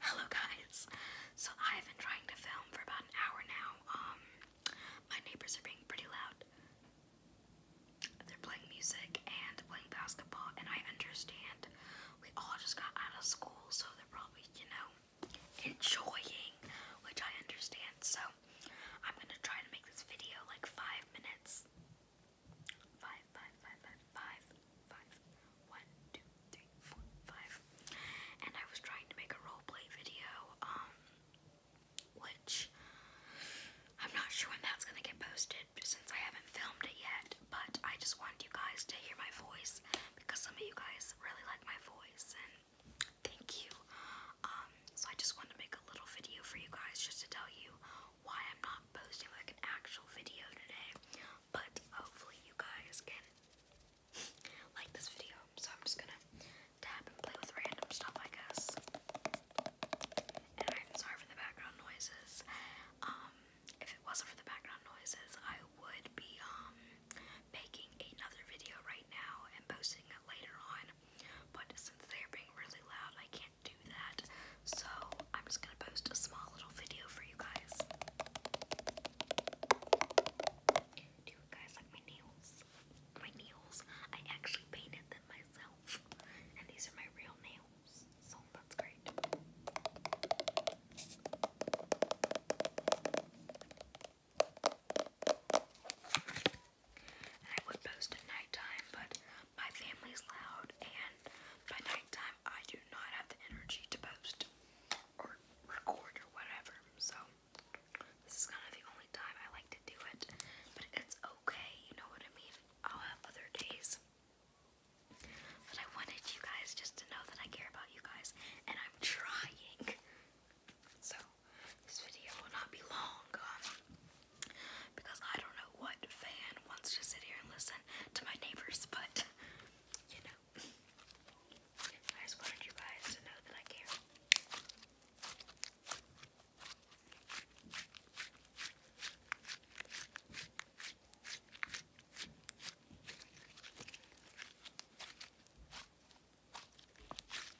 Hello guys! So I've been trying to film for about an hour now. Um, my neighbors are being pretty loud. They're playing music and playing basketball, and I understand we all just got out of school, so they're probably, you know, enjoying, which I understand. So I'm gonna try to make this video like five minutes. Five, five, five, five, five five. One, two, And I was trying to make a roleplay video, um, which I'm not sure when that's gonna get posted since I haven't filmed it yet, but I just want you guys to hear my voice because some of you guys really like my voice and thank you. Um, so I just wanted to make a little video for you guys just to tell you why I'm not posting like an actual video today. But hopefully you guys can like this video. So I'm just gonna tap and play with random stuff, I guess. And I'm sorry for the background noises. Um, if it wasn't for the background noises, I would be um making another video right now and posting it later on. But since they're being really loud, I can't do that. So I'm just gonna post a small little video for you guys. Do you guys like my nails? My nails. I actually painted them myself. And these are my real nails. So that's great. And I would post at nighttime, but my family's loud, and by nighttime, I do not have the energy to post or record or whatever. So, this is kind of the only time I like to do it. But it's okay, you know what I mean? I'll have other days. But I wanted you guys just to know that I care about you guys, and I'm trying. So, this video will not be long. Um, because I don't know what fan wants to sit here and listen to my neighbors, but you know. I just wanted you guys to know that I care.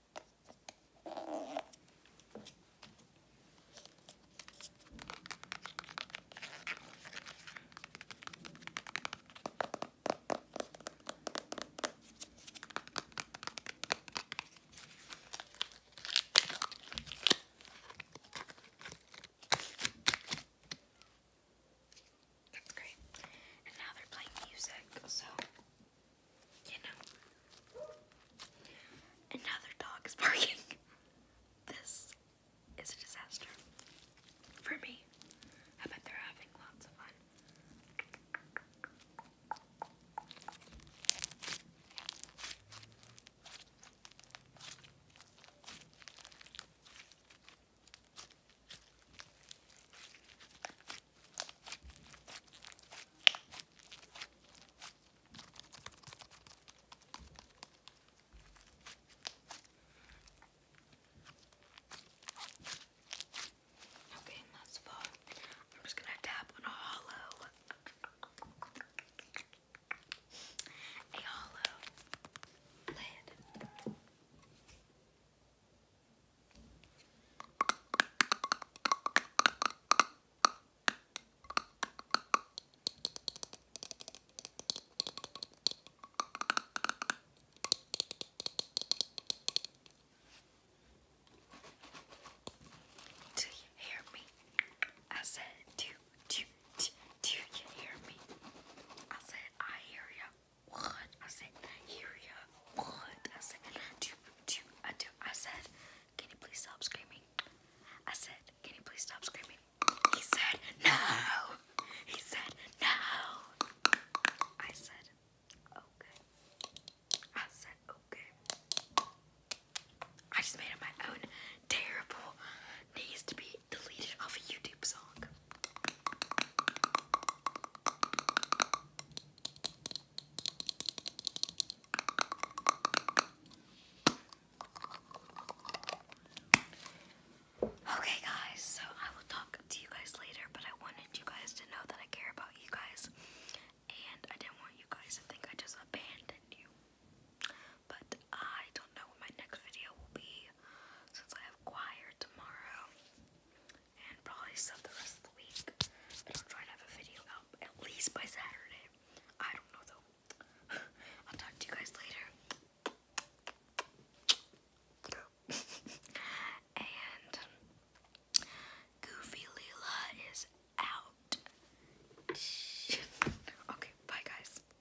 That's great. And now they're playing music, so you know. Another dog is barking. This is a disaster for me. I bet they're having lots of fun. Okay, that's full. I'm just gonna tap on a hollow. A hollow lid. Do you hear me? I said, do, do, do, do you hear me? I said, I hear you what? I said, Yuria, what? I said, do do I do, I said, can you please stop screaming? I said, can you please stop screaming? He said, no. He said, no. I said, okay. I said, okay. I just made up my own terrible needs to be deleted off a YouTube song. Okay, guys, so I will talk to you guys later, but I wanted you guys to know that I care about you guys, and I didn't want you guys to think I just abandoned you. But I don't know what my next video will be since I have choir tomorrow and probably stuff the rest of the week. I'll try to have a video out at least by Saturday. I don't know though. I'll talk to you guys later. and Goofy Leela is out. okay, bye guys.